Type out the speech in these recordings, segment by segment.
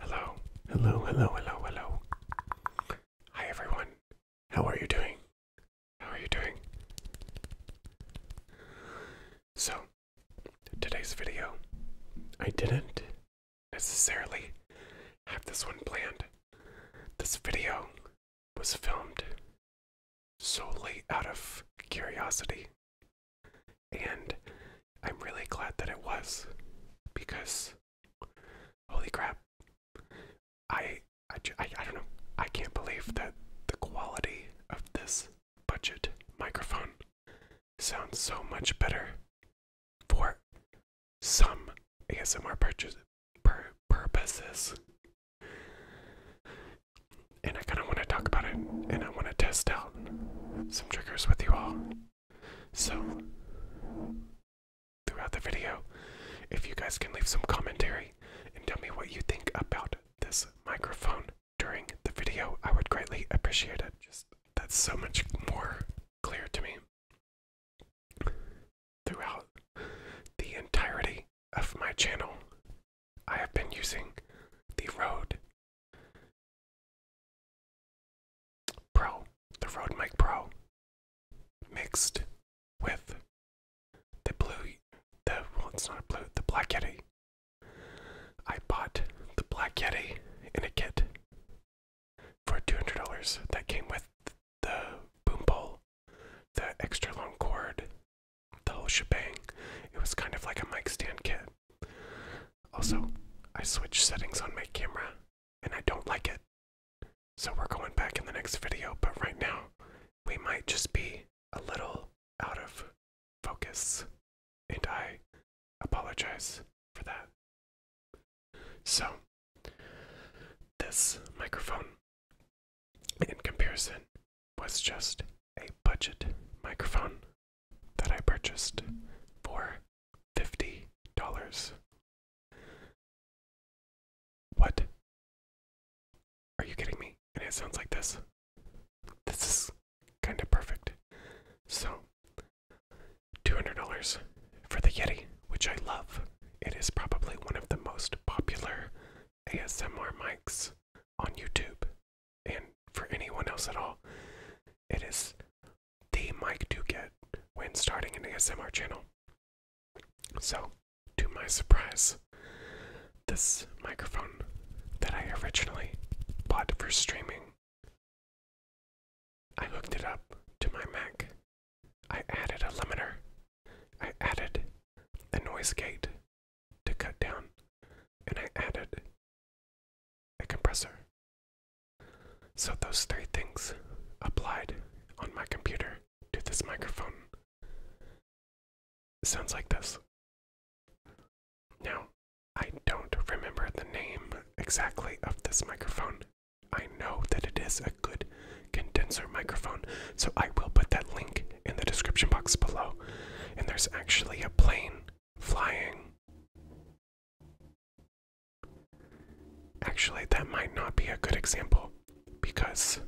Hello, hello, hello, hello, hello. Hi everyone. How are you doing? How are you doing? So, today's video, I didn't necessarily have this one planned. This video was filmed solely out of curiosity. And I'm really glad that it was because holy crap. I, I, I, I don't know. I can't believe that the quality of this budget microphone sounds so much better for some ASMR purchase purposes. And I kind of want to talk about it and I want to test out some triggers with you all. So, throughout the video, if you guys can leave some commentary and tell me what you think about this microphone during the video, I would greatly appreciate it. Just that's so much more clear to me throughout the entirety of my channel, I have been using the Rode Pro, the Rode Mic Pro, mixed with the blue, the well, it's not blue, the Black Yeti. I bought the Black Yeti in a kit for $200 that came with the boom pole, the extra long cord, the whole shebang. It was kind of like a mic stand kit. Also, I switched settings on my camera and I don't like it. So we're going back in the next video, but right now we might just be a little out of focus. And I apologize for that. So, this microphone in comparison was just a budget microphone that I purchased for fifty dollars. What? Are you kidding me? And it sounds like this. This is kind of perfect. So, $200 for the Yeti which I love. It is probably one of the most popular ASMR mics on YouTube and for anyone else at all. It is the mic to get when starting an ASMR channel. So, to my surprise, this microphone that I originally bought for streaming, I hooked it up to my Mac I added a limiter. I added a noise gate to cut down, and I added a compressor. So those three things applied on my computer to this microphone. sounds like this. Now, I don't remember the name exactly of this microphone I know that it is a good condenser microphone, so I will put that link in the description box below. And there's actually a plane flying. Actually, that might not be a good example because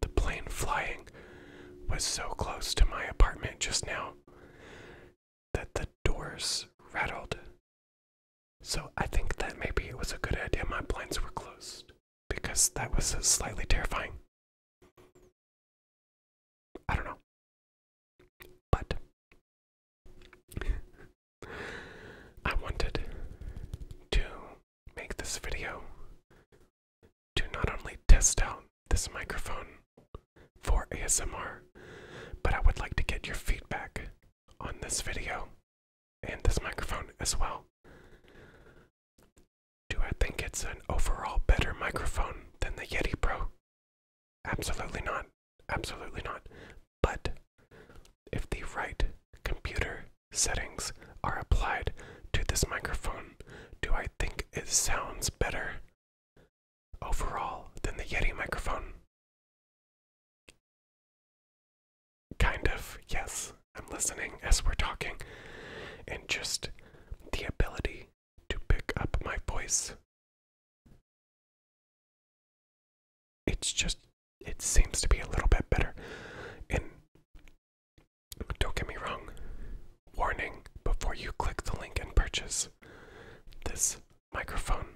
the plane flying was so close to my apartment just now that the doors rattled so I think that maybe it was a good idea my blinds were closed because that was slightly terrifying. I don't know. But I wanted to make this video to not only test out this microphone for ASMR, but I would like to get your feedback on this video and this microphone as well. Do I think it's an overall better microphone than the Yeti Pro? Absolutely not. Absolutely not. But if the right computer settings are applied to this microphone, do I think it sounds better overall than the Yeti microphone? Kind of, yes. I'm listening as we're talking. And just the ability to pick up my voice. It's just, it seems to be a little bit better. And don't get me wrong, warning before you click the link and purchase, this microphone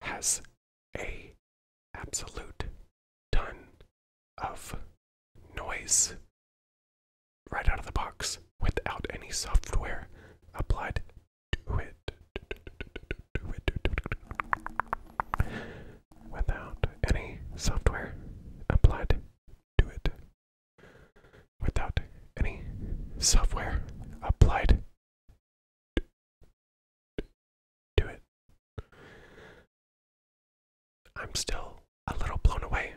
has a absolute ton of noise right out of the box without any software applied to it. Without any software applied to it. Without any software applied do it. I'm still a little blown away.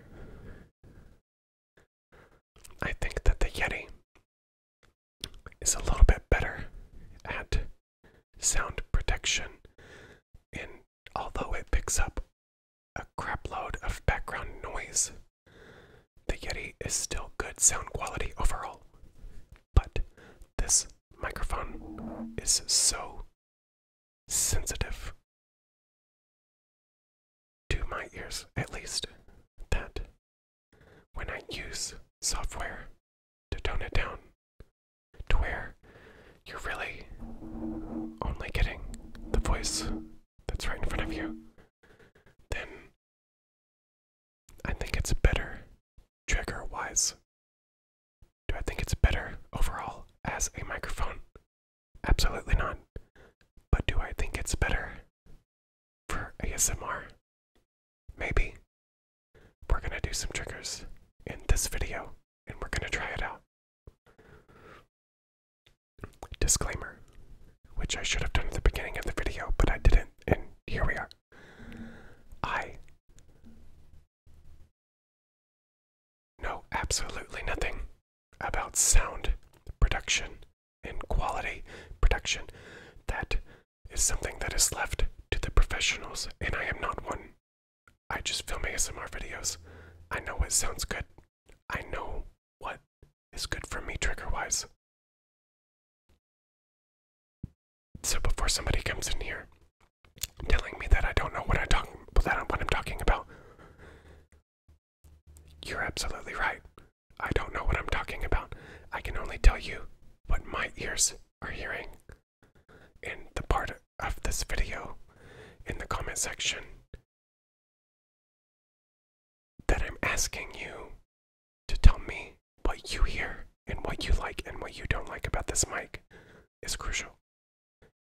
I think that the Yeti is a little bit better at sound protection, and although it picks up a crapload of background noise, the Yeti is still good sound quality overall, but this microphone is so sensitive to my ears, at least, that when I use software to tone it down, to where you're really only getting the voice that's right in front of you then I think it's better trigger wise. Do I think it's better overall as a microphone? Absolutely not. But do I think it's better for ASMR? Maybe. We're gonna do some triggers in this video and we're gonna try it out. Disclaimer, which I should have done at the beginning of the video, but I didn't, and here we are. I know absolutely nothing about sound production and quality production. That is something that is left to the professionals, and I am not one. I just film ASMR videos. I know it sounds good. I know what is good for me trigger wise. So before somebody comes in here telling me that I don't know what I talk that I'm, what I'm talking about, you're absolutely right. I don't know what I'm talking about. I can only tell you what my ears are hearing. In the part of this video, in the comment section, that I'm asking you to tell me what you hear and what you like and what you don't like about this mic is crucial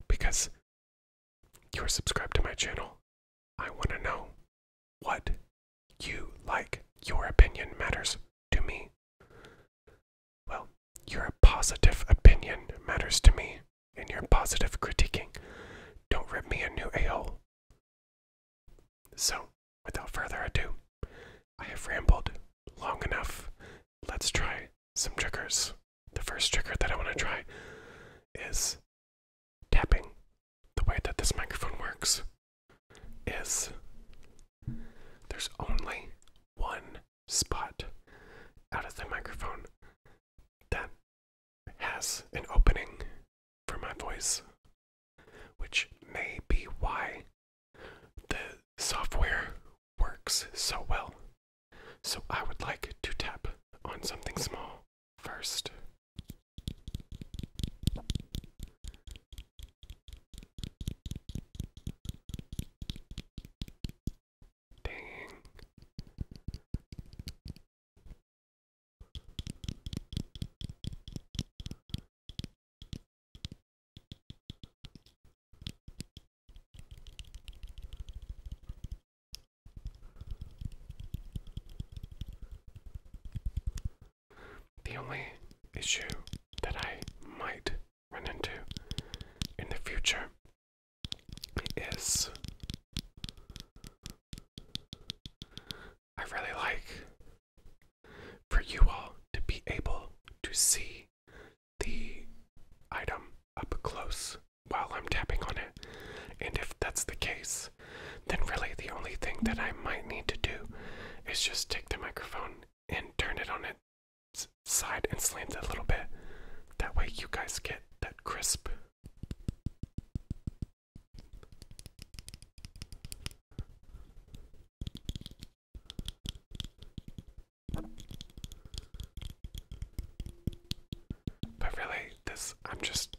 because you're subscribed to my channel. I want to know what you like. Your opinion matters to me. Well, your positive opinion matters to me, and your positive critiquing. Don't rip me a new a hole. So, without further ado, I have rambled long enough. Let's try some triggers. The first trigger that I want to try is tapping. The way that this microphone works is there's only one spot out of the microphone that has an opening for my voice, which may be why the software works so well. So I would like to tap on something small first. Dang. The only issue that I might run into in the future is I really like for you all to be able to see the item up close while I'm tapping on it. And if that's the case, then really the only thing that I might need to do is just take the microphone and turn it on its side and slant it a little bit. That way you guys get that crisp but really, this, I'm just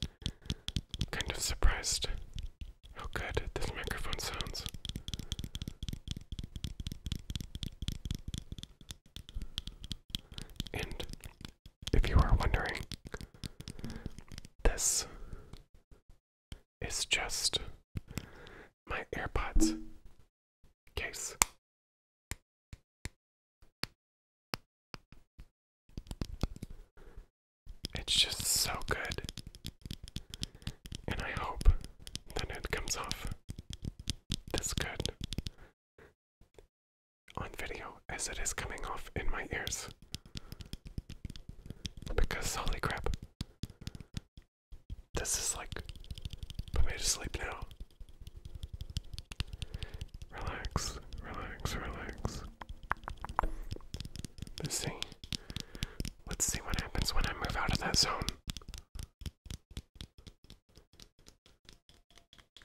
kind of surprised how good this microphone sounds. And if you are wondering, this is just my AirPods case. It's just so good, and I hope that it comes off this good on video as it is coming off in my ears. Because holy crap. This is like put me to sleep now. Relax, relax, relax. Let's see. Let's see what happens when I move out of that zone.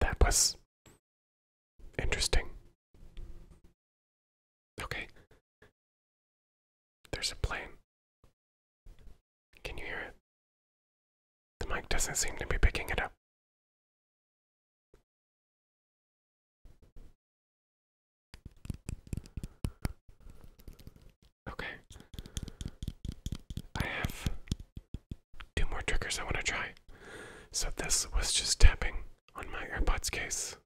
That was interesting. Okay. There's a plane. Can you hear it? The mic doesn't seem to be picking it up. Okay. I have two more triggers I want to try. So this was just tapping on my earbuds case.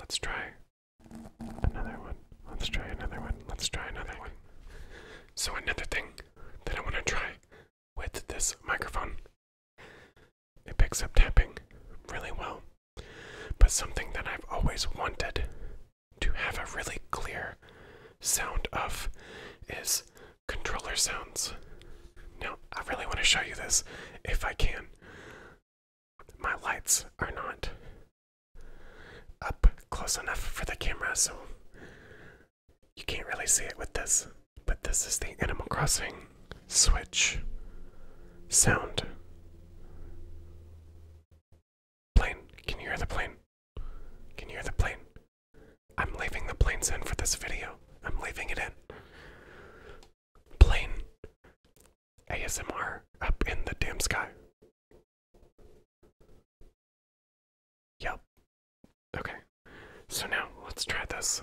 Let's try another one. Let's try another one. Let's try another one. So, another thing that I want to try with this microphone it picks up tapping really well. But something that I've always wanted to have a really clear sound of is controller sounds. Now, I really want to show you this if I can. My lights are not up close enough for the camera, so you can't really see it with this. But this is the Animal Crossing switch, sound. Plane, can you hear the plane? Can you hear the plane? I'm leaving the planes in for this video. I'm leaving it in. Plane ASMR up in the damn sky. Yep. Okay. So now let's try this.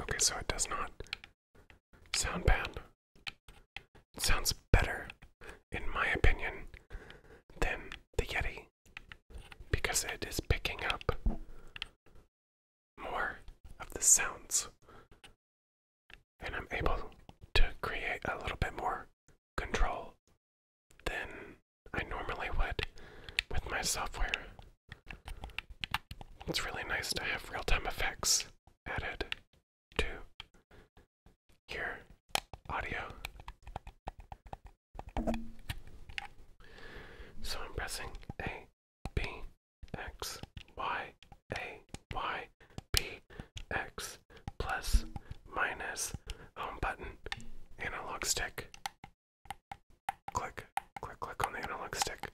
Okay, so it does not sound bad. It sounds better, in my opinion, than the Yeti because it is picking up more of the sounds. And I'm able to create a little bit more control than I normally would with my software. It's really nice to have real-time effects added to your audio. So I'm pressing A, B, X, Y, A, Y, B, X, plus, minus, home button, analog stick. Click, click, click on the analog stick.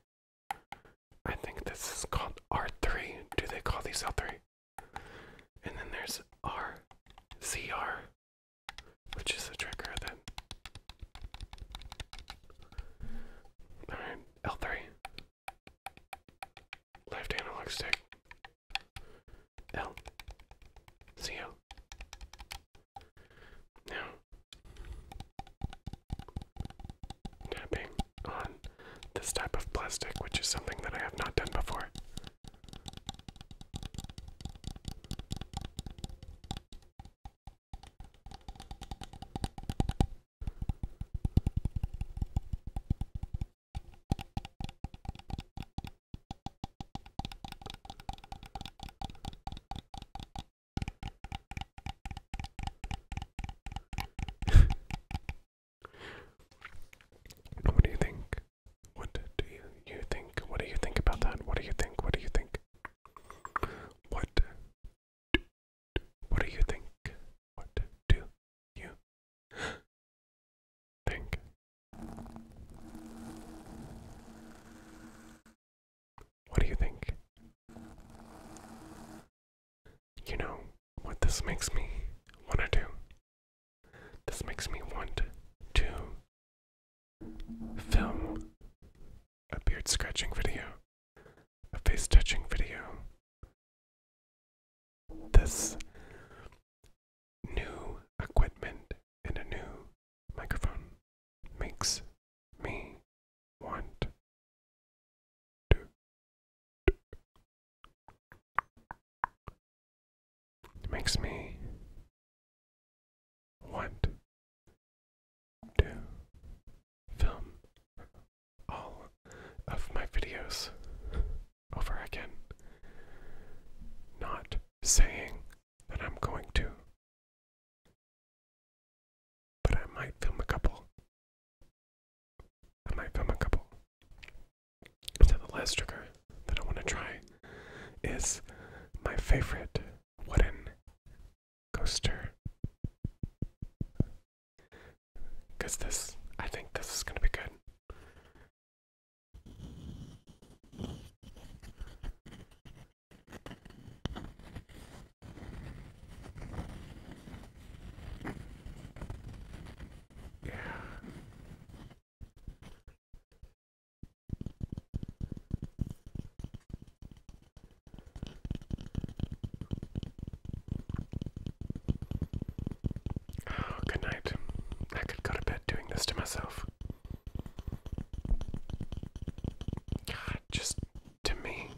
I think this is called R3. Do they call these L3? And then there's R, RCR, which is the trigger Then L3. Left analog stick. L. C L. Now, tapping on this type of plastic, which is something that I have not done before. what do you think? What do you, you think? What do you think about that? What do you think? What do you think? What what do you think? What do you think? What do you think? You know what this makes me want to do? This makes me want to film a beard scratching video, a face touching video. This new equipment and a new microphone makes me want to makes me want to film all of my videos over again, not saying and I'm going to. But I might film a couple. I might film a couple. So the last trigger that I want to try is my favorite wooden coaster. Cause this, I think this is gonna be good. Oh, good night. I could go to bed doing this to myself. God, just to me.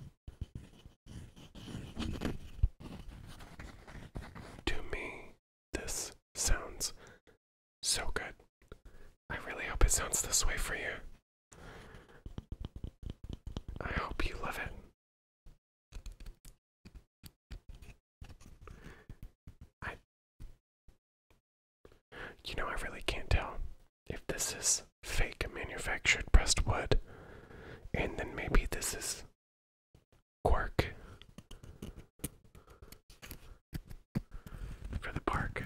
To me, this sounds so good. I really hope it sounds this way for you. I hope you love it. I you know, I really can't tell if this is fake manufactured pressed wood, and then maybe this is cork for the park.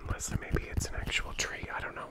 Unless maybe it's an actual tree, I don't know.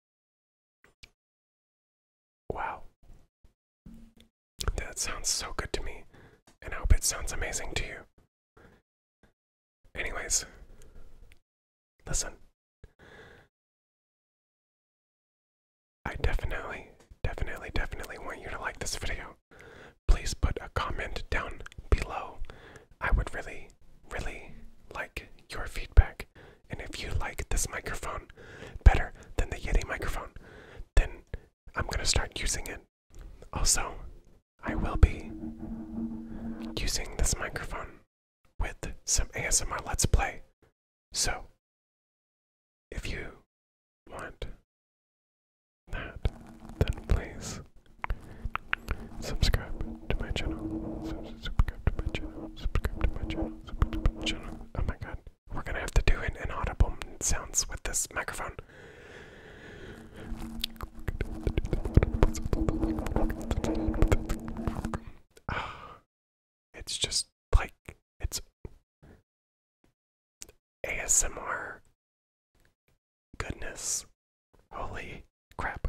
Wow. That sounds so good to me, and I hope it sounds amazing to you. Anyways, listen. I definitely, definitely, definitely want you to like this video. Please put a comment down below. I would really, really like your feedback. And if you like this microphone better than the Yeti microphone, then I'm gonna start using it. Also, I will be using this microphone with some ASMR Let's Play. So, if you want that, then please subscribe to my channel. Subscribe to my channel. Subscribe to my channel. Oh my god. We're gonna have to do an inaudible sounds with this microphone. It's just like it's ASMR goodness. Holy crap.